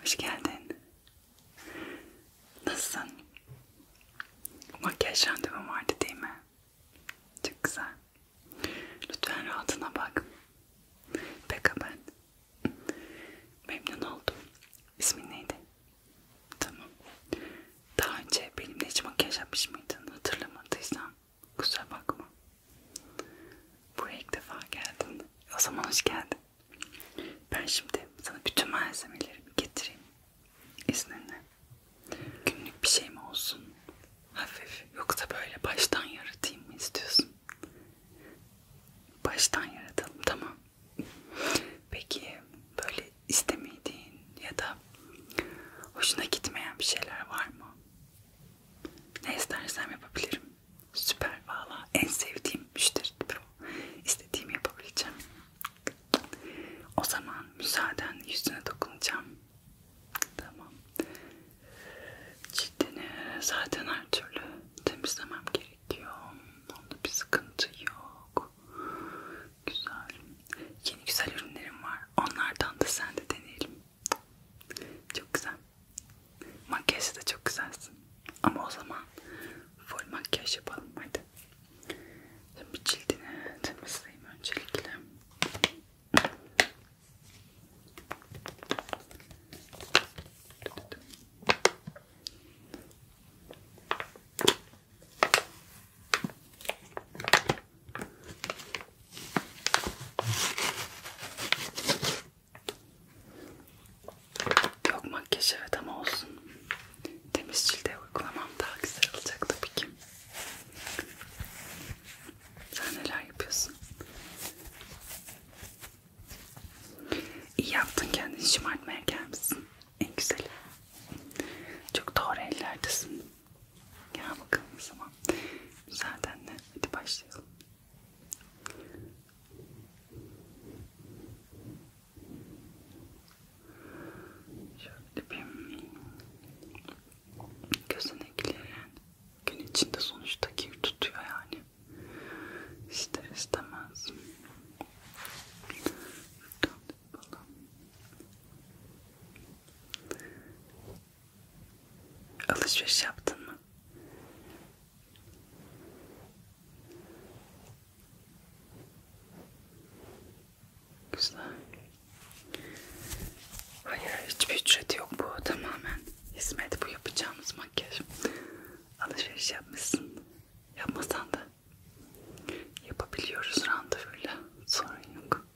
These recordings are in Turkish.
Hoş geldin. Nasılsın? Makyaj randevum vardı değil mi? Çok güzel. Lütfen rahatına bak. Pekka ben. Memnun oldum. İsmin neydi? Tamam. Daha önce benimle hiç makyaj yapmış mıydın? Hatırlamadıysan kusura bakma. Buraya ilk defa geldin. O zaman hoş geldin. Ben şimdi sana bütün malzemelerimi getireyim izninle. Günlük bir şey mi olsun? Hafif. Yoksa böyle baştan yaratayım mı istiyorsun? Baştan yaratalım tamam. Peki böyle istemediğin ya da hoşuna gitmeyen bir şeyler var mı? Ne istersen yapabilirim. Süper valla en sevdiğim müşteri tipi o. İstediğimi yapabileceğim. O zaman müsaaden yüzüne dokunacağım. Tamam. Cildini zaten her türlü temizlemem gerekiyor. Onda bir sıkıntı yok. Güzel. Yeni güzel ürünlerim var. Onlardan da sen de deneyelim. Çok güzel. Makyajı da çok güzelsin. Ama o zaman full makyaj yapalım hadi. Şimdi cildini temizleyeyim öncelikle. Yok makyaj evet ama olsun. Temiz cilde uygulamam daha güzel olacak tabii ki. Sen neler yapıyorsun? İyi yaptın kendini şımartmaya gelmişsin. En güzeli. Çok doğru ellerdesin. Gel bakalım o zaman. Müsaadenle hadi başlayalım. Şöyle dibim gözeneklerin gün içinde sonuçta kir tutuyor yani ister istemez Alışveriş yaptın mı? Güzel. Hayır hiçbir ücreti yok bu tamamen hizmet bu yapacağımız makyaj. Alışveriş yapmışsın. Yapmasan da yapabiliyoruz randevuyla. Sorun yok.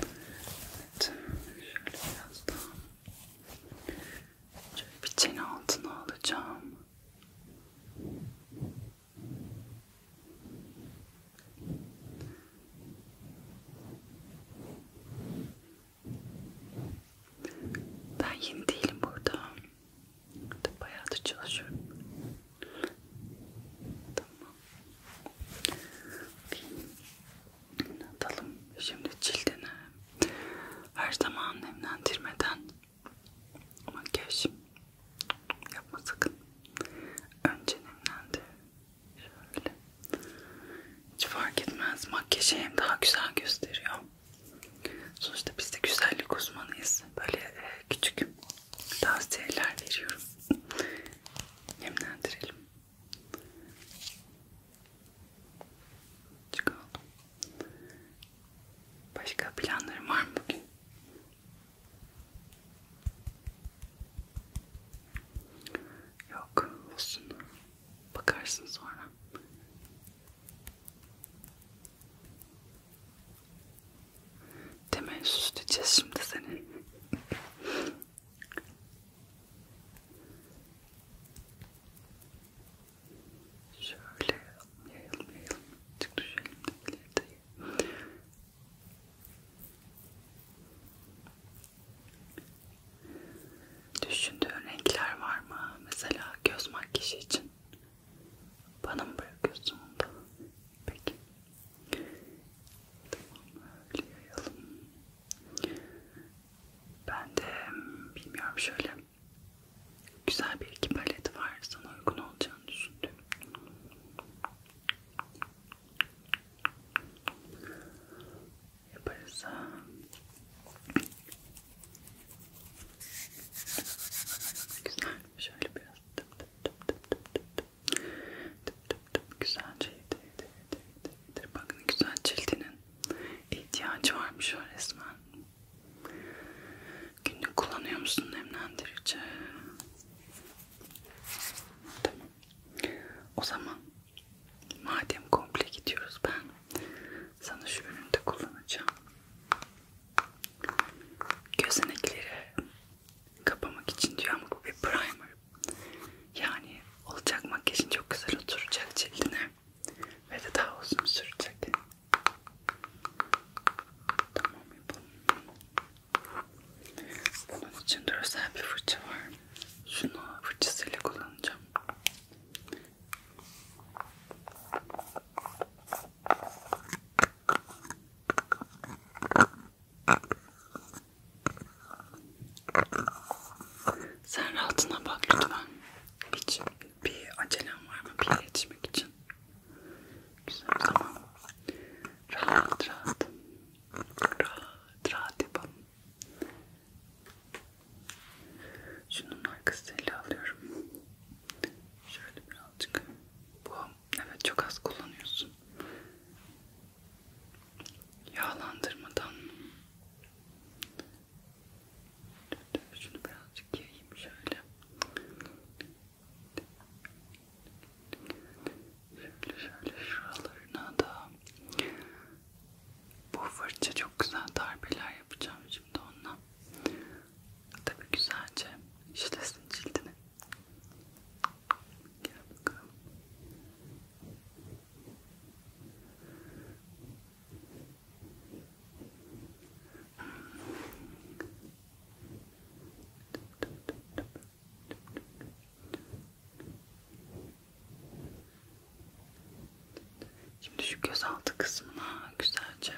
Evet, şöyle biraz daha. Şöyle bir çene altına alacağım. Ben yeni değilim burada. Bayağı da çalışıyorum. Tamam. Bir, Atalım şimdi cildini her zaman nemlendirmeden makyaj yapma sakın. Önce nemlendir. Şöyle. Hiç fark etmez. Makyajı hem daha güzel gösteriyor. Sonuçta biz de güzellik uzmanıyız. Böyle e, küçük tavsiyeler veriyorum. Nemlendirelim. Çıkalım. Başka planlarım var mı bugün? Yok, olsun. Bakarsın sonra. Temel süsleyeceğiz şimdi senin. Şöyle yayalım yayalım. Çık düşelim de ileri Düşündüğün renkler var mı? Mesela göz makyajı için bana mı bırakıyorsun onu da? Peki. Tamam öyle yayalım. Ben de bilmiyorum şöyle güzel bir iki palet var sana uygun olacağını düşündüm. Yaparız. Güzel. Şöyle biraz tıp tıp tıp tıp tıp tıp tıp tıp tıp güzelce yedi yedi yedi yedi Bakın güzel cildinin ihtiyacı varmış o resmen. Günlük kullanıyor musun nemlendirici? Tamam. O zaman madem komple gidiyoruz ben sana şu ürünü de kullanacağım. Gözenekleri kapamak için diyor ama bu bir primer. Yani olacak makyajın çok güzel oturacak cildine ve de daha uzun sürecek. Tamam yapalım. Bunun için de özel bir fırça var. Şunu fırçasıyla kullanacağım. Sen rahatına bak lütfen. Hiç bir acelem var mı bir yere yetişmek için? Güzel tamam. Rahat rahat. Rahat rahat yapalım. Şunun arkasıyla alıyorum. Şöyle birazcık. Bu evet çok az kullanıyorsun yağlandırmadan şunu birazcık yayayım şöyle şöyle şöyle şuralarına da bu fırça çok güzel darbeler yapacağım şimdi onunla tabi güzelce işlesin cildini Gel bakalım. Şimdi şu gözaltı kısmına güzelce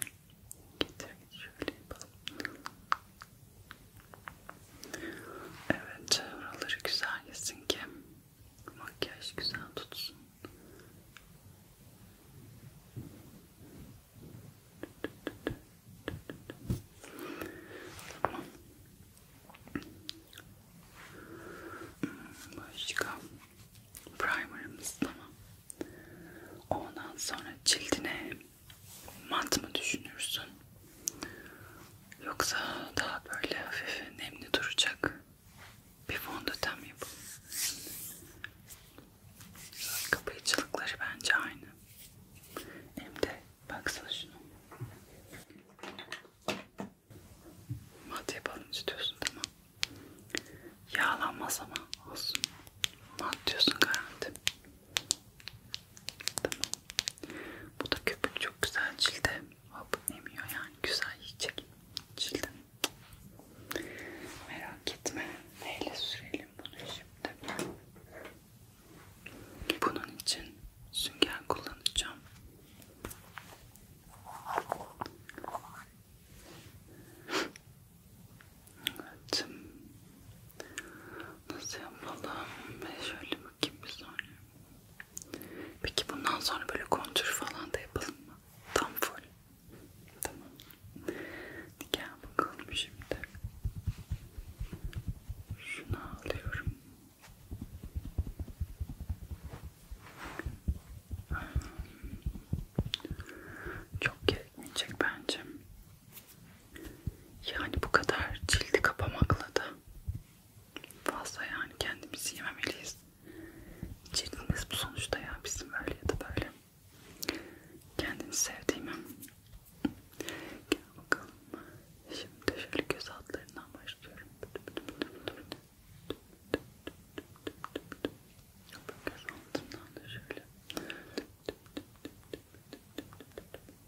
getir şöyle yapalım. Evet, oraları güzel yesin ki Makyaj güzel tutsun. Tamam. Başka primerımız tamam. Ondan sonra cildine mat mı düşünürsün? Yoksa daha böyle hafif nemli duracak bir fondöten yapalım. Kapayıcılıkları bence aynı. Hem de baksana şunu. Mat yapalım istiyorsun tamam. Yağlanmaz ama olsun. Mat diyorsun garanti. Tamam. Bu da köpük çok güzel cilde hop emiyor yani güzel yiyecek cildim merak etme neyle sürelim bunu şimdi bunun için sünger kullanacağım evet nasıl yapalım ben şöyle bakayım bir saniye Peki bundan sonra böyle kontür falan da yapalım mı? Tam full. Tamam. Gel bakalım şimdi. Şunu alıyorum. Çok gerekmeyecek bence. Yani bu kadar cildi kapamakla da fazla yani kendimizi yememeliyiz. Cildimiz bu sonuçta ya bizim öyle ya da böyle. Kendini sevdiğimi. Gel bakalım. Şimdi şöyle göz altlarından başlıyorum. Göz altından da şöyle.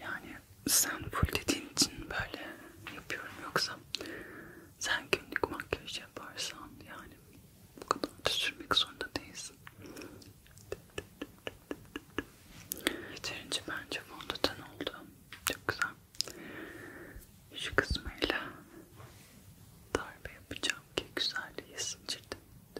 Yani sen full dediğin için böyle yapıyorum yoksa sen günlük makyaj yaparsan yani bu kadar da sürmek zorunda değilsin. Yeterince bence fondöten oldu. Çok güzel. Şu kısmıyla darbe yapacağım ki güzelliği sıçırdım.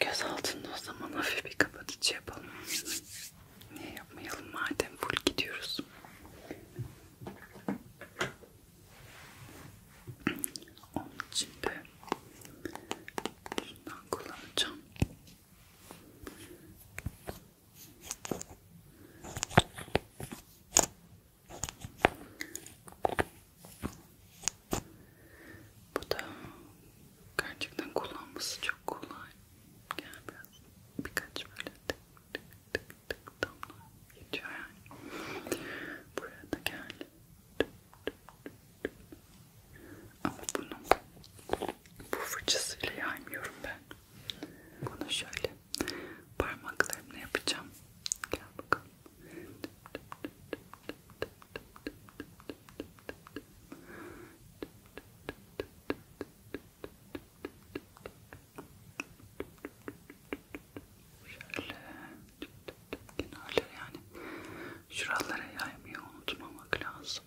Göz altında o zaman hafif bir kapatıcı yapalım. Niye yapmayalım madem full gidiyoruz. Onun için de şundan kullanacağım. Bu da gerçekten kullanması çok kolay. Gel yani biraz birkaç böyle tık tık tık tık damla geçiyor yani. Buraya da gel. Ama bunu bu fırçasıyla yaymıyorum ben. Bunu şöyle parmaklarımla yapacağım. Gel bakalım. Tıp tıp tıp tıp tıp tıp. Şöyle kenarları yani şuralara yaymayı unutmamak lazım.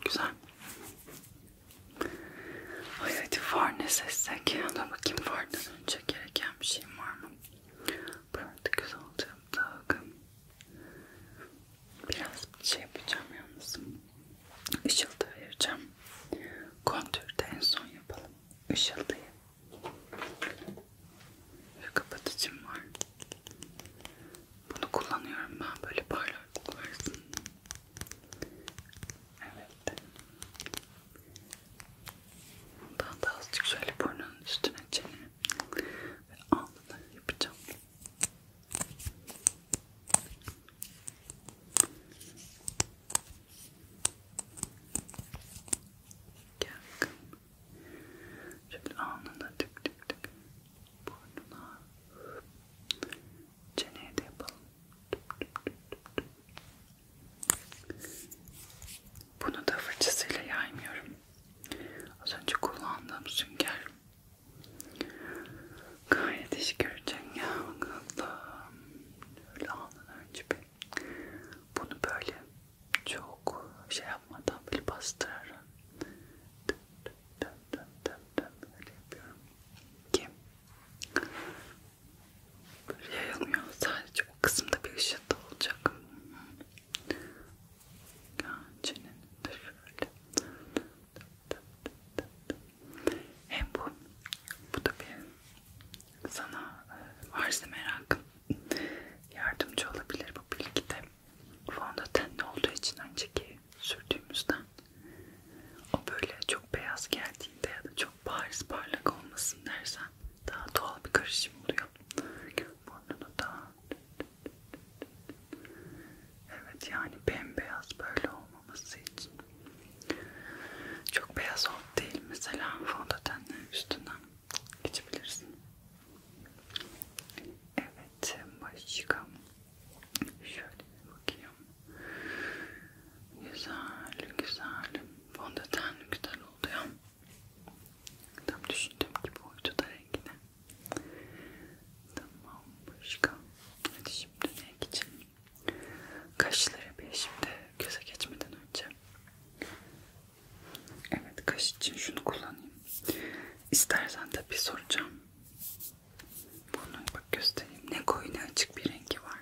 Güzel. Ay hadi far ne sessek. Dur bakayım far ne Önce gereken bir şeyim var mı? Burada göz alacağım takım. Biraz şey yapacağım yalnız. Işıltı ayıracağım. Kontürde en son yapalım. Işıltıyı. Böyle kapatıcım var. Bunu kullanıyorum ben böyle parlaklık versin. Evet geldi. Daha da azıcık şöyle burnunun üstüne çene ve alnına yapacağım. Gel bakalım. Şöyle alnına tık tık tık. Burnuna. Çeneye de yapalım. Tık tık tık tık. Bunu da fırçasıyla yaymıyorum. Az önce kullandığım sünger. Gayet iş göreceksin ya. Öyle alnına önce bir bunu böyle çok şey yapmadan böyle bastırarak dım dım dım dım dım böyle yapıyorum. Kim? Böyle yayılmıyor. Sadece o kısımda bir ışık da olacak. Çenenin de şöyle. Hem bu, bu da bir sana varsa e, merakım yardımcı olabilir bu bilgide. Fondötenli olduğu için önceki sürdüğümüzden o böyle çok beyaz geldiğinde ya da çok çok bariz parlak olmasın dersen daha doğal bir karışım oluyor. Burnunu da Evet yani bembeyaz böyle olmaması için. Çok beyaz ol değil mesela fondötenle üstünden geçebilirsin. Evet başka şöyle bakayım. Güzel, güzel. Fondöten güzel oluyor. Tam düşündüğüm gibi oydu da rengine. Tamam, başka. Hadi şimdi renk için. Kaşları bir şimdi göze geçmeden önce. Evet, kaş için şunu kullanayım. İstersen tabi soracağım. Bunun bak göstereyim. Ne koyu ne açık bir rengi var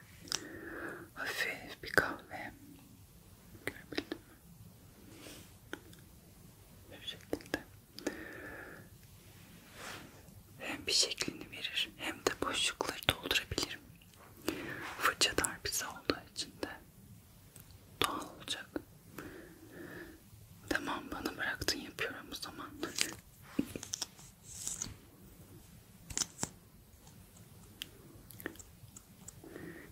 hafif bir kahve görebildim mi? Bir şekilde hem bir şeklini verir hem de boşlukları doldurabilirim. Fırça darbesi olduğu için de doğal olacak. Tamam bana bıraktın yapıyorum o zaman.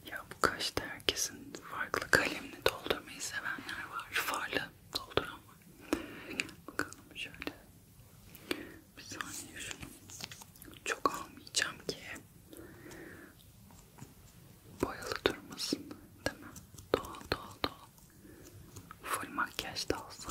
Ya bu kaşta herkesin farklı kalemini doldurmayı sevenler var. Farlı dolduran var. Bakalım şöyle. Bir saniye şunu. Çok almayacağım ki. Boyalı durmasın. Değil mi? Doğal doğal doğal. Full makyaj da olsa.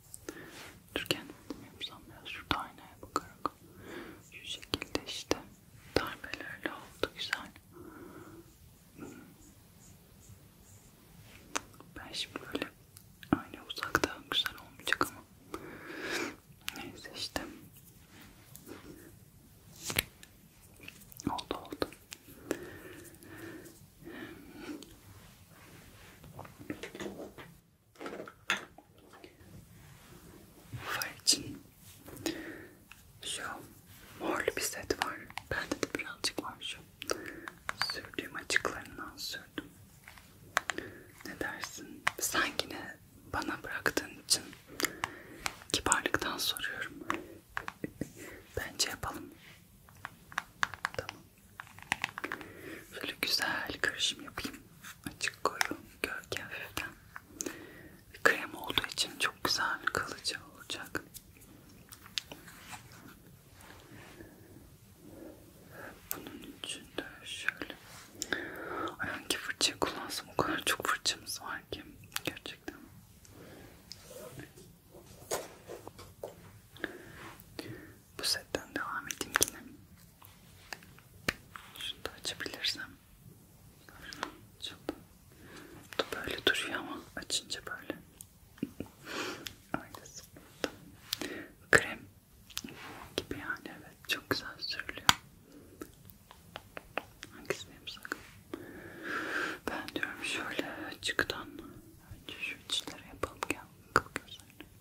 Dur kendimi yapsam biraz şurada aynaya bakarak. Şu şekilde işte darbelerle oldu güzel. Ben şimdi böyle aynı uzaktan güzel olmayacak ama neyse işte oldu oldu Far için şu morlu bir set var. Bende de birazcık var şu. Sürdüğüm açıklarından sürdüm. Ne dersin? Sen yine bana bıraktığın için kibarlıktan soruyorum. Bence yapalım. Tamam. Şöyle güzel karışım yapayım. Açık koyu gölge hafiften. Krem olduğu için çok güzel kalıcı olacak. Bunun için de şöyle Ay hangi fırçayı kullansam o kadar çok fırçamız var ki gerçekten bu setten devam edeyim yine. Şunu da açabilirsem. Bu böyle duruyor ama açınca böyle. Aynısı. Krem gibi yani evet çok güzel sürülüyor. Hangisini yapsak? Ben diyorum şöyle çıktan önce şu içleri yapalım gel. Kapı gözlerini.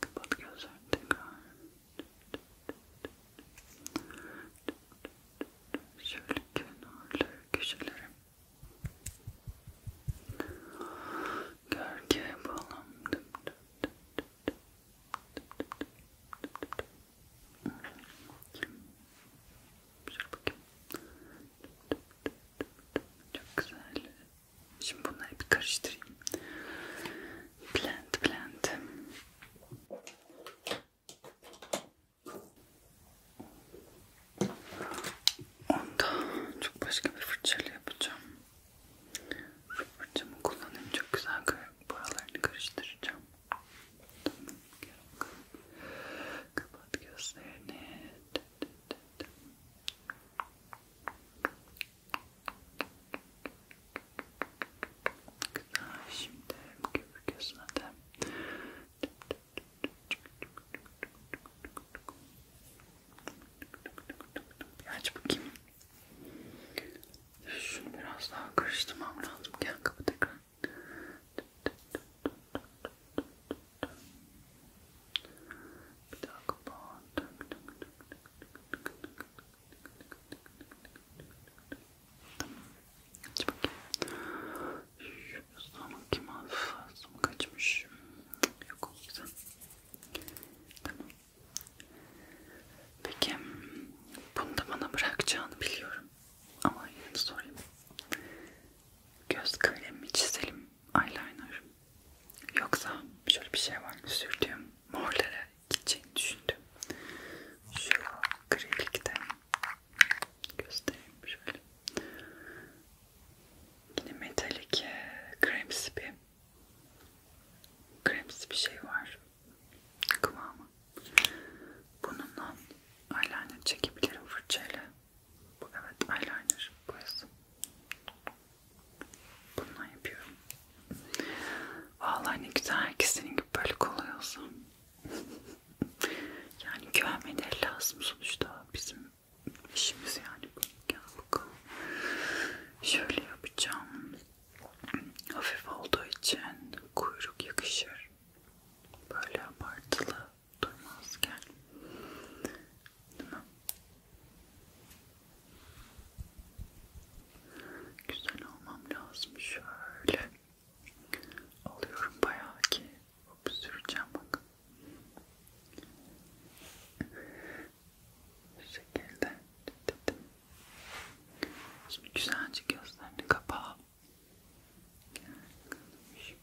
Kapat gözlerini tekrar. Şöyle kenarlı köşelere. Gölge yapalım. Şöyle bakayım. Çok güzel. Şimdi bunları bir karıştırayım. Blend, blend. Onda çok başka bir fırçayla yapacağım. Fırçamı kullanayım çok güzel buralarını karıştıracağım. Tamam, gel bakalım. Kapat gözlerini. Dı dı dı dı. Güzel. Şimdi köpük gözüne de bir aç bakayım. Şunu biraz daha karıştırmam lazım. Gel kapı tekrar. Tık tık tık tık tık tık tık bir daha kapat. Tamam. Aç bakayım. Şurası ama kim hafızası mı kaçmış? Yok o yüzden. Tamam. Peki. Bunu da bana bırakacağını biliyorum. Ama yine sorayım. Göz kalemi çizelim eyeliner. Yoksa şöyle bir şey var mı? Sürdüğüm morlara gideceğini düşündüm. Şu grilikte göstereyim şöyle. Yine metalik kremsi bir kremsi bir şey var kıvamı. Bununla eyeliner çekebilirim fırçayla. Bu evet eyeliner boyası. Bununla yapıyorum. Vallahi ne güzel herkesin gibi böyle kolay olsun. yani güvenmeleri lazım sonuçta bizim işimiz yani bu. Gel bakalım. Şöyle yapacağım. Hafif olduğu için kuyruk yakışır. Böyle abartılı durmazken değil mi? Güzel olmam lazım şöyle alıyorum bayağı ki hop süreceğim bakın bu şekilde dedim. Şimdi güzelce gözlerini kapa. Şimdi. Şimdi.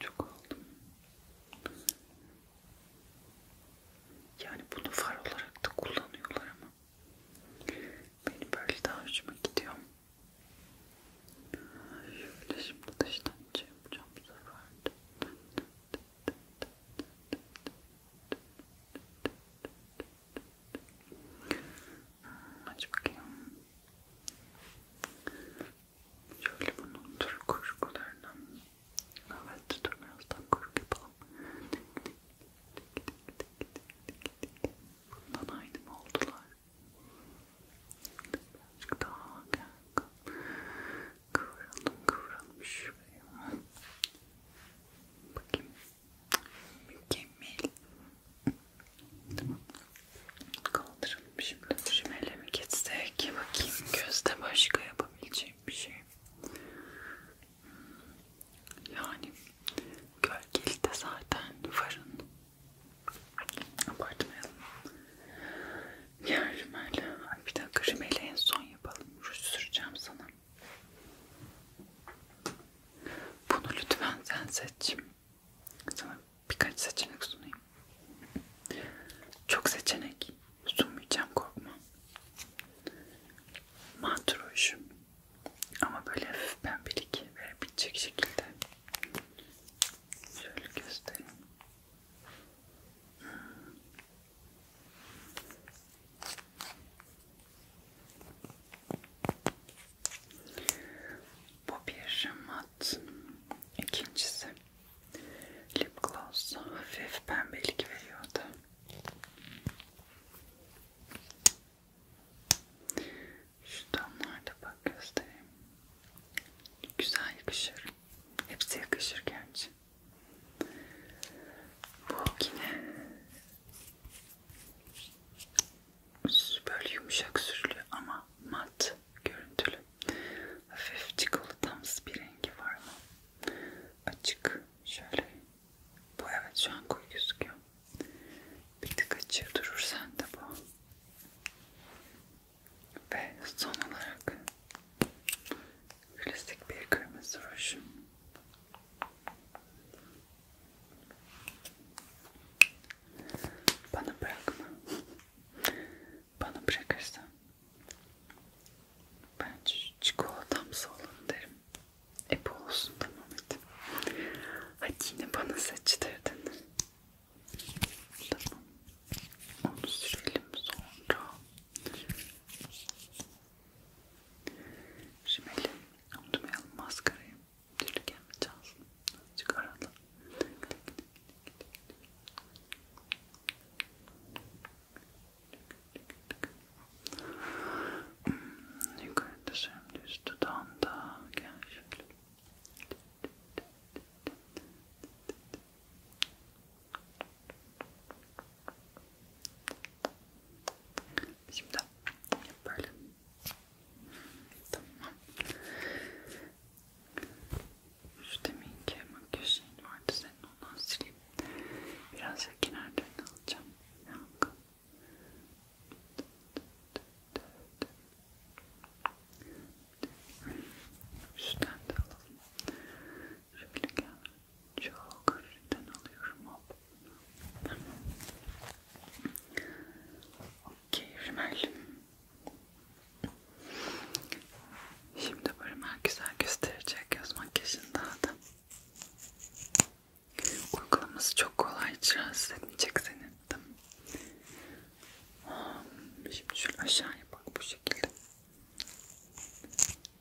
Çok aldım. Yani bunu far olarak da kullanıyorlar ama benim böyle daha hoşuma gidiyor. Şöyle şimdi dıştan şey yapacağım bu sefer. Aç bakayım. Şöyle bunun tür kurgularını evet tutamıyorsan kurgu yapalım. Bundan aynı mı oldular? Birazcık daha gel. Kıvralım kıvralım şuraya. Bakayım. Mükemmel. Tamam. Kaldıralım şimdi. Şimele mi geçsek? Bakayım gözde başka yapabileceğim bir şey. Yani gölgeli de zaten varın. Abartmayalım. Diğer rümel. Bir dakika rümeli en son yapalım. Ruj süreceğim sana. Bunu lütfen sen seç. Sana birkaç seçenek sunayım. Çok seçenek sunmayacağım korkma. Matruş. Ama böyle hafif pembelik verebilecek şekilde. Şöyle göstereyim. Bu bir mat. İkincisi lip gloss. Hafif pembelik veriyordu. Şu tonlarda bak göstereyim. Güzel yakışır. Hepsi yakışır gerçi. Bu yine Böyle yumuşak sürülü ama mat görüntülü. Hafif çikolatamsı bir rengi var ama açık. Şöyle. Bu evet şu an koyu gözüküyor. Bir tık açığı durur sende bu. Ve son olarak klasik bir kırmızı ruj. Bana bırakma. Bana bırakırsan ben çikolatamsı olalım derim. Epe olsun tamam hadi. Hadi yine bana seçtirdin. Tamam. Onu sürelim sonra. Rimeli unutmayalım maskarayı. Türlük yapacağız. Azıcık arada. Hmm, yukarıda şimdi üst dudağımda. Gel şöyle. Şimdi yap böyle. Tamam. Şu deminki makyaj şeyin vardı senin ondan sileyim. Biraz da kenardan alacağım. Yok. Üstten de alalım. Şöyle gel. Çok hafiften alıyorum hop. Tamam. Okey rimel. Şimdi bu rimel güzel gösterecek göz makyajını daha da. Uygulaması çok kolay hiç rahatsız etmeyecek seni. Tamam. Şimdi şöyle aşağıya bak bu şekilde.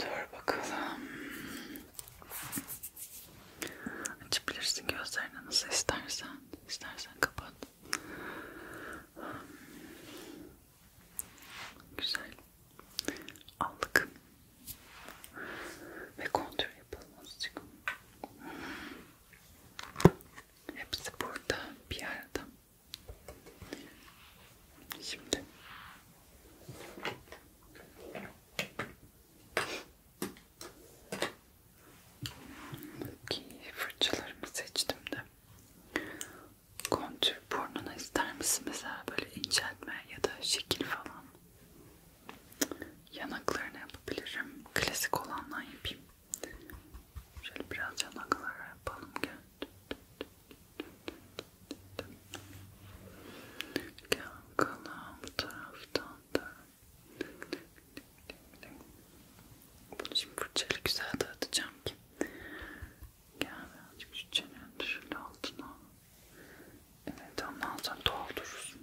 Dur bakalım. Açabilirsin gözlerini nasıl istersen. İstersen kapat. Güzel. Aldık. Ve kontür yapalım azıcık. Hepsi burada bir arada. Şimdi ki fırçalarımı seçtim de kontür burnuna ister misin mesela böyle inceltme ya da şekil falan yanaklarını yapabilirim klasik olandan yapayım Şöyle biraz yana kadar yapalım gel. Gel bakalım bu taraftan da. Bunu şimdi fırçayla güzel dağıtacağım ki. Gel birazcık şu çenenin şöyle altına. Evet ondan sonra doldurursun.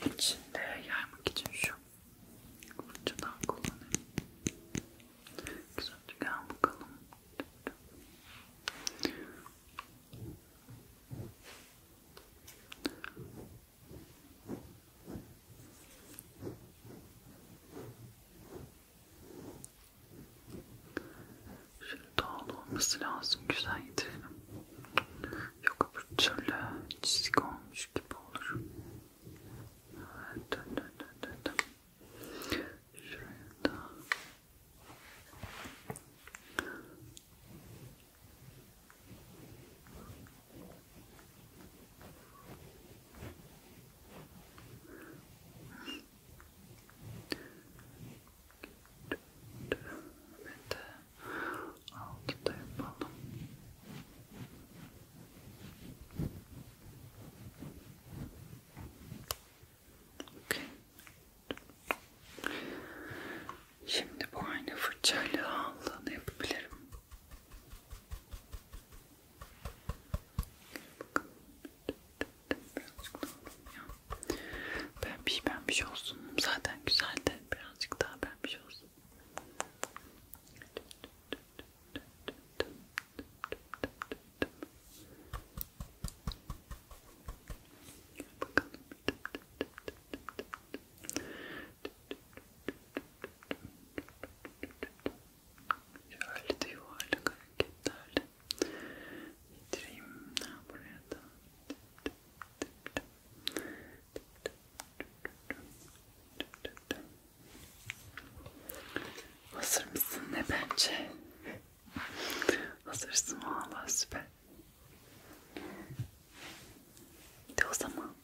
Onun içinde yaymak için şu fırçadan kullanayım. Güzelce gel bakalım. Evet. Şöyle doğal olması lazım. Güzel yedirelim. Yok öbür türlü çizik olmuş gibi olur. Evet, dön dön dön dön dön. Şuraya da. Evet, Evet. Altı da yapalım. Okay. Şimdi bu aynı fırçayla aldığını yapabilirim. Birazcık daha alalım ya. Pembiş pembiş olsun. Zaten güzel de birazcık daha pembiş olsun. Bakalım. Şöyle de yuvarlak hareketlerle getireyim buraya da. Hazır mısın ne bence? Hazırsın valla süper. De o zaman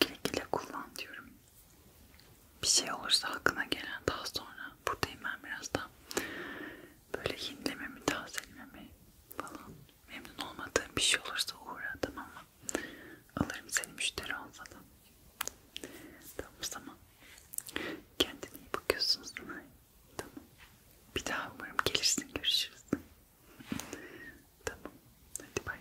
güle güle kullan diyorum bir şey olursa aklına gelen daha sonra buradayım ben biraz da böyle yenilememi, tazelememi falan memnun olmadığım bir şey olursa uğra tamam mı? Alırım seni müşteri olsa da. Tamam o zaman. Kendine iyi bakıyorsunuz. Tamam. Bir daha umarım gelirsin. Görüşürüz. tamam. Hadi bay.